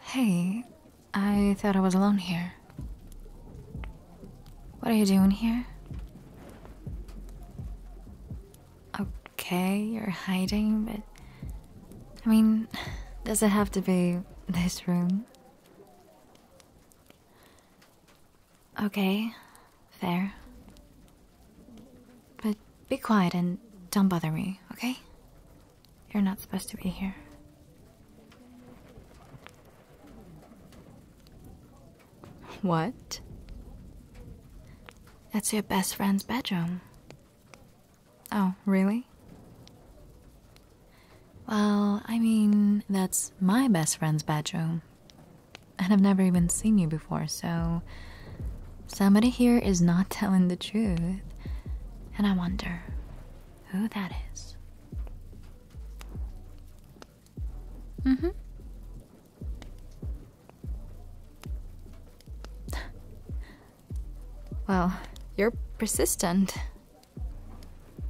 Hey, I thought I was alone here. What are you doing here? Okay, you're hiding, but. I mean, does it have to be this room? Okay, fair. But be quiet and don't bother me, okay? You're not supposed to be here. What? That's your best friend's bedroom. Oh, really? Well, I mean, that's my best friend's bedroom. And I've never even seen you before, so Somebody here is not telling the truth, and I wonder who that is. Mm hmm. Well, you're persistent.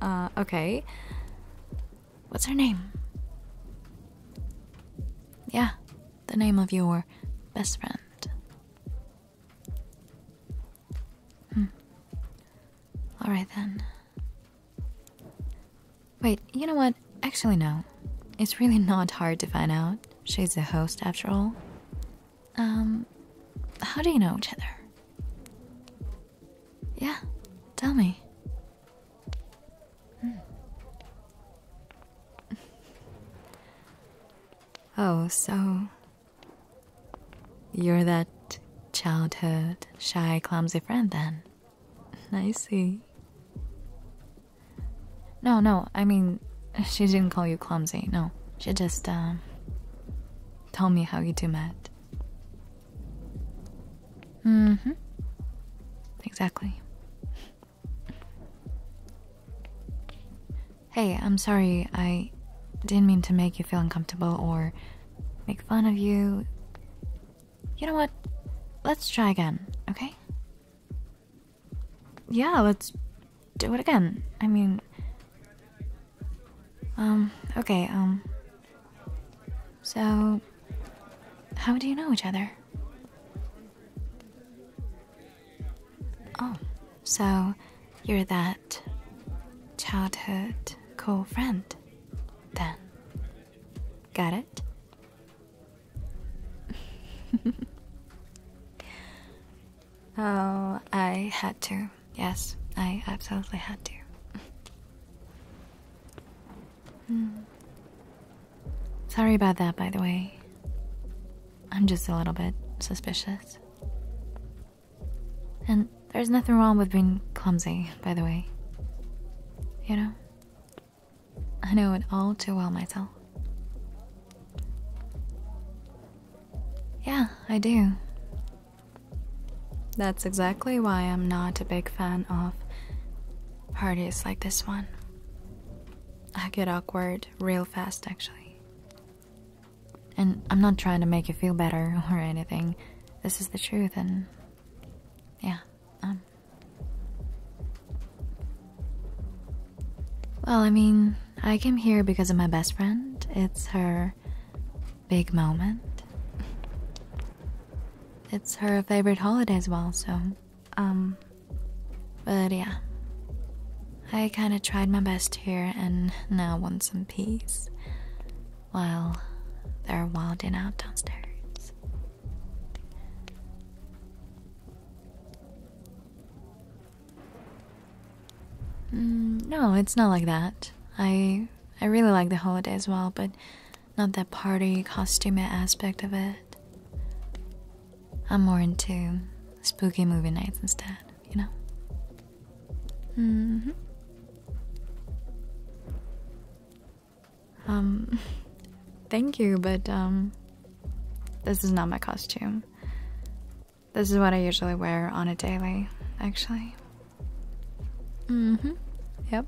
Uh, okay. What's her name? Yeah, the name of your best friend. Hmm. All right then. Wait, you know what? Actually, no. It's really not hard to find out. She's the host after all. Um, how do you know each other? Yeah, tell me. Hmm. Oh, so you're that childhood shy, clumsy friend then? I see. No, no, I mean, she didn't call you clumsy, no. She just, um, told me how you two met. Mm hmm. Exactly. Hey, I'm sorry, I didn't mean to make you feel uncomfortable or make fun of you. You know what? Let's try again, okay? Yeah, let's do it again. I mean, um, okay, um, so how do you know each other? Oh, so you're that childhood cool friend, then. Got it? oh, I had to. Yes, I absolutely had to. Hmm. Sorry about that, by the way. I'm just a little bit suspicious. And there's nothing wrong with being clumsy, by the way. You know? I know it all too well myself. Yeah, I do. That's exactly why I'm not a big fan of parties like this one. I get awkward real fast, actually. And I'm not trying to make you feel better or anything. This is the truth, and yeah, um. Well, I mean, I came here because of my best friend. It's her big moment. It's her favorite holiday as well, so, um. But yeah. I kinda tried my best here and now want some peace. While they're wilding out downstairs. Mm, no, it's not like that. I I really like the holiday as well, but not that party costume aspect of it. I'm more into spooky movie nights instead you know? Mm-hmm. Um, thank you, but, um, this is not my costume. This is what I usually wear on a daily, actually. hmm. Yep.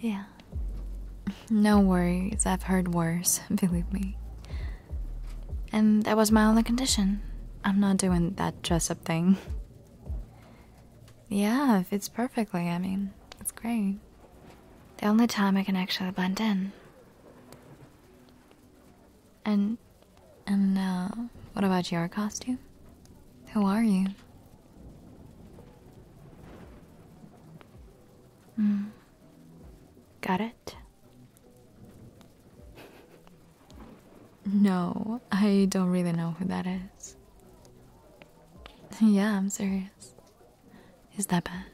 Yeah. No worries, I've heard worse, believe me. And that was my only condition. I'm not doing that dress up thing. Yeah, it fits perfectly. I mean, it's great. The only time I can actually blend in. And. and, uh, what about your costume? Who are you? Mm. Got it. No, I don't really know who that is. yeah, I'm serious. Is that bad?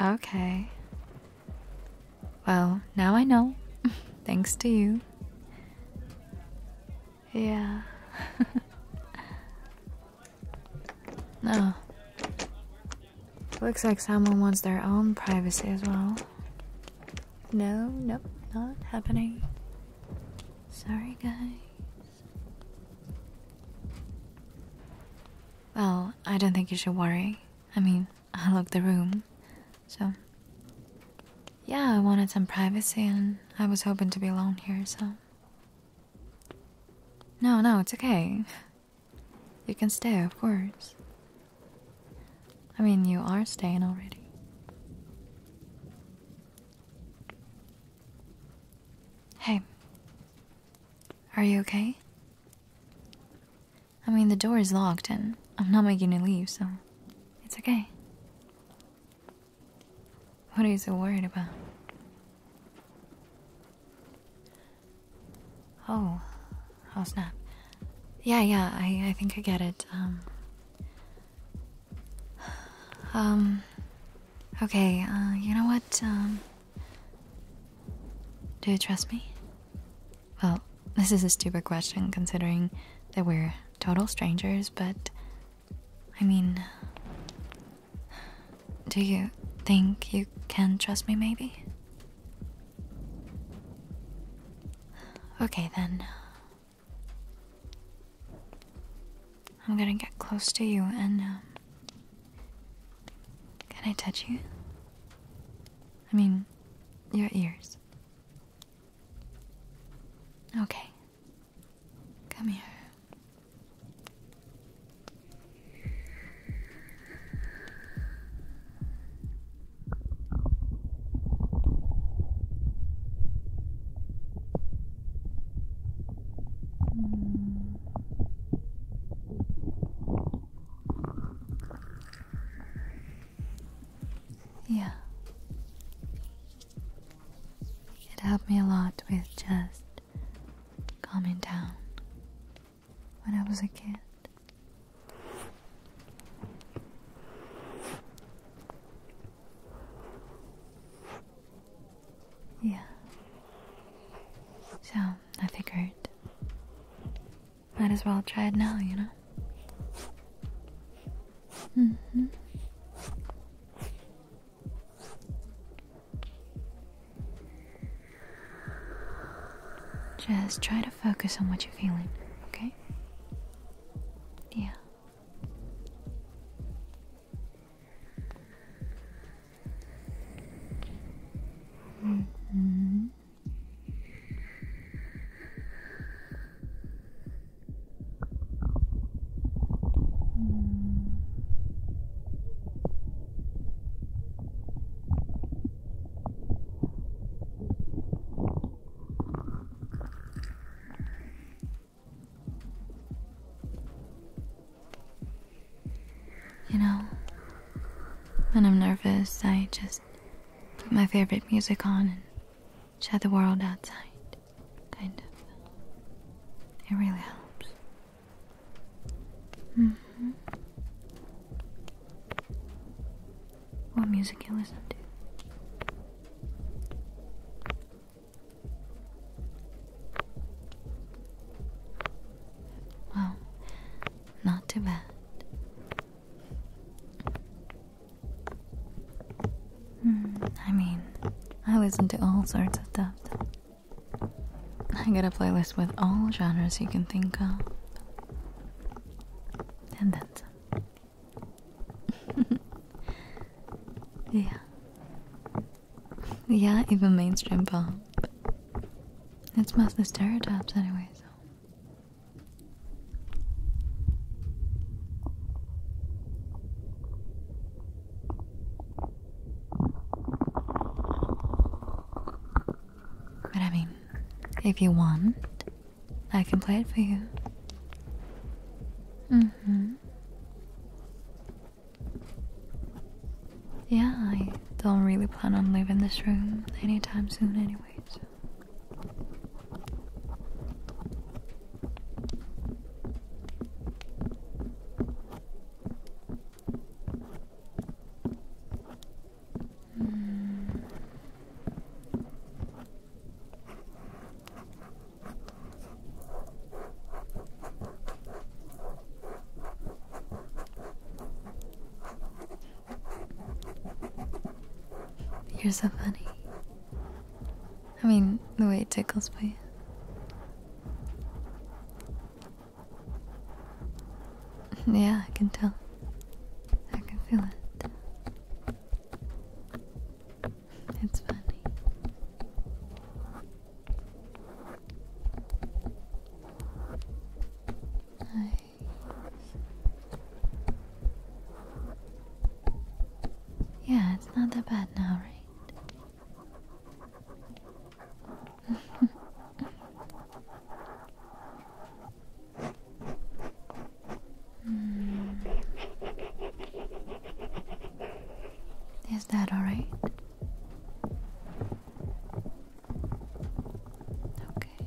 Okay. Well, now I know. Thanks to you. Yeah. no. Looks like someone wants their own privacy as well. No, nope, not happening. Sorry, guys. Well, I don't think you should worry. I mean, I looked the room, so. Yeah, I wanted some privacy and I was hoping to be alone here, so. No, no, it's okay. You can stay, of course. I mean, you are staying already. Hey, are you okay? I mean, the door is locked and I'm not making you leave, so it's okay. What are you so worried about? Oh, oh snap. Yeah, yeah, I, I think I get it. Um, um, okay, uh, you know what? Um, do you trust me? Well, this is a stupid question considering that we're total strangers, but I mean, do you think you can trust me, maybe? Okay, then. I'm gonna get close to you and. Um, can I touch you? I mean, your ears. Okay. Come here. Hmm. Yeah, it helped me a lot with just calming down when I was a kid. Yeah. So, I figured. Might as well try it now, you know? Mm hmm. Just try to focus on what you're feeling, okay? Yeah. Mm-hmm. You know, when I'm nervous, I just put my favorite music on and shut the world outside kind of. It really helps. Mm -hmm. What music you listen to? Well, not too bad. Hmm, I mean, I listen to all sorts of stuff. I got a playlist with all genres you can think of. And then some. yeah. Yeah, even mainstream pop. It's mostly stereotypes anyway, but I mean, if you want, I can play it for you. Mm hmm. Yeah, I don't really plan on leaving this room anytime soon, anyways. You're so funny. I mean, the way it tickles me. Yeah, I can tell. I can feel it. It's funny. Yeah, it's not that bad now, right? Hmm. Is that all right? Okay.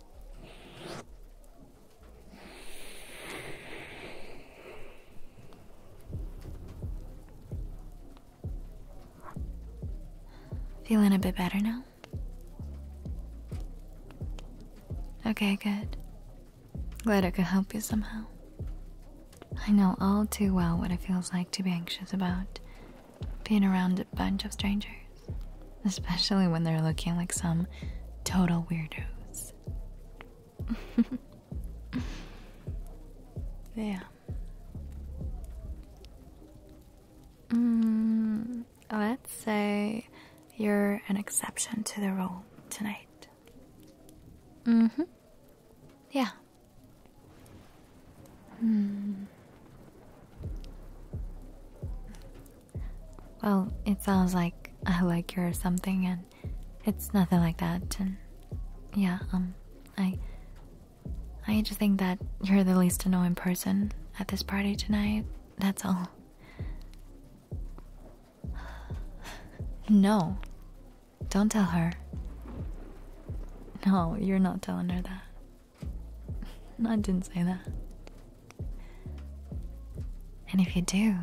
Feeling a bit better now? Okay, good. Glad I could help you somehow. I know all too well what it feels like to be anxious about being around a bunch of strangers. Especially when they're looking like some total weirdos. yeah. Mm, let's say you're an exception to the rule tonight. Mm-hmm. hmm. Yeah. Well, it sounds like I like you or something, and it's nothing like that. And yeah, um, I, I just think that you're the least annoying person at this party tonight. That's all. No, don't tell her. No, you're not telling her that. I didn't say that. And if you do,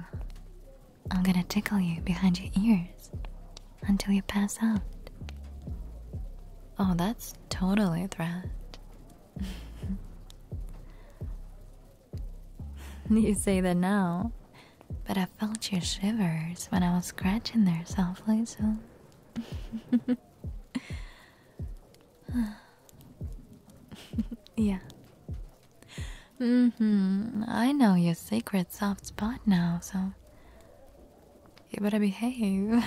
I'm gonna tickle you behind your ears until you pass out. Oh, that's totally a threat. you say that now, but I felt your shivers when I was scratching there softly, so. yeah. Mm hmm. I know your secret soft spot now, so you better behave.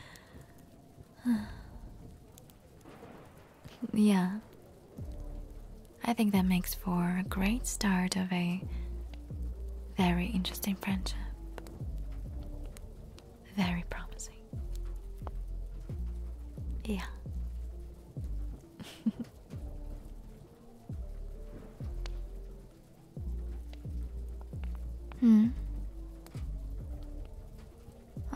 yeah. I think that makes for a great start of a very interesting friendship. Very promising. Yeah. hmm.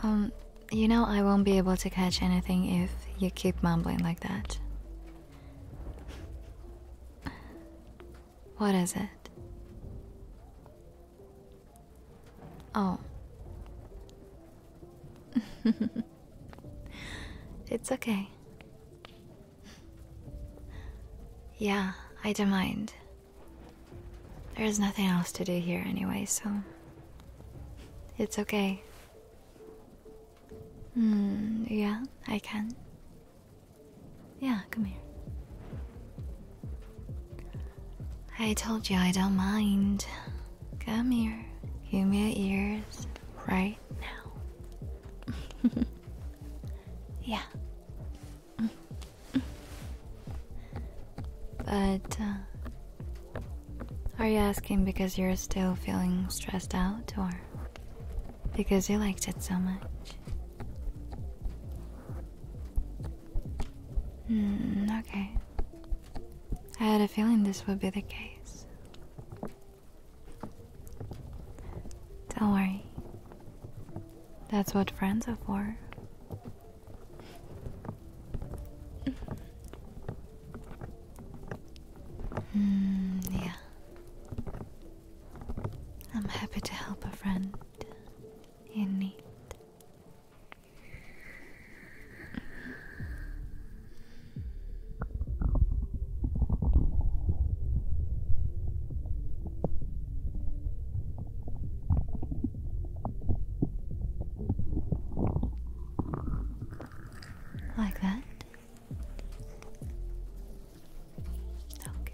Um, you know, I won't be able to catch anything if you keep mumbling like that. What is it? Oh. it's okay. Yeah, I don't mind. There's nothing else to do here anyway, so. It's okay. Hmm, yeah, I can. Yeah, come here. I told you I don't mind. Come here, give me your ears right now. yeah. but uh, are you asking because you're still feeling stressed out or because you liked it so much? Hmm, okay. I had a feeling this would be the case. Don't worry. That's what friends are for. Hmm, yeah. I'm happy to help a friend in need. Like that? Okay.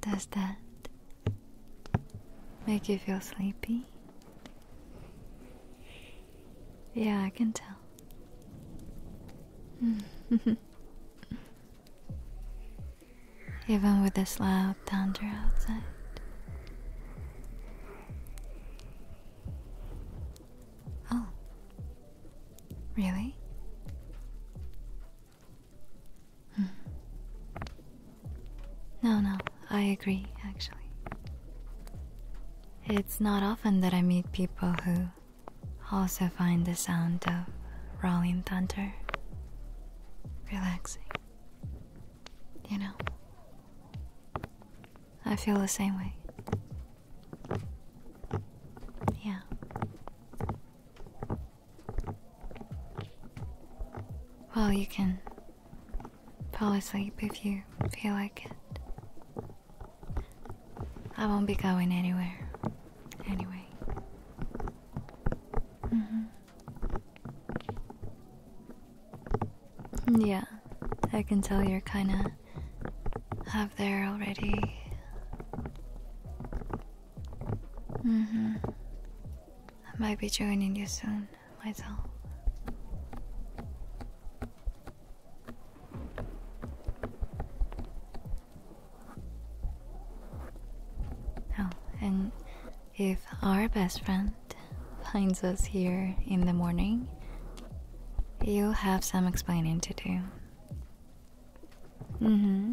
Does that make you feel sleepy? Yeah, I can tell. Even with this loud thunder outside. Oh. Really? No, no, I agree, actually. It's not often that I meet people who also find the sound of rolling thunder relaxing. You know, I feel the same way. Yeah. Well, you can fall asleep if you feel like it. I won't be going anywhere. Anyway. Mm-hmm. yeah. I can tell you're kind of up there already hmm. I might be joining you soon myself. Oh, and if our best friend finds us here in the morning, you'll have some explaining to do. hmm.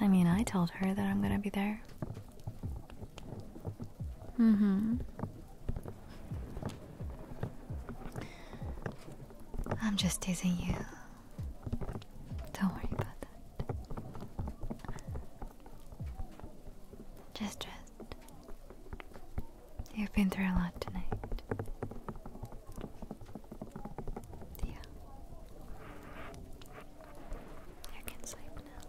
I mean, I told her that I'm gonna be there. Mm hmm. I'm just teasing you. Don't worry about that. Just rest. You've been through a lot tonight. Yeah. I can sleep now.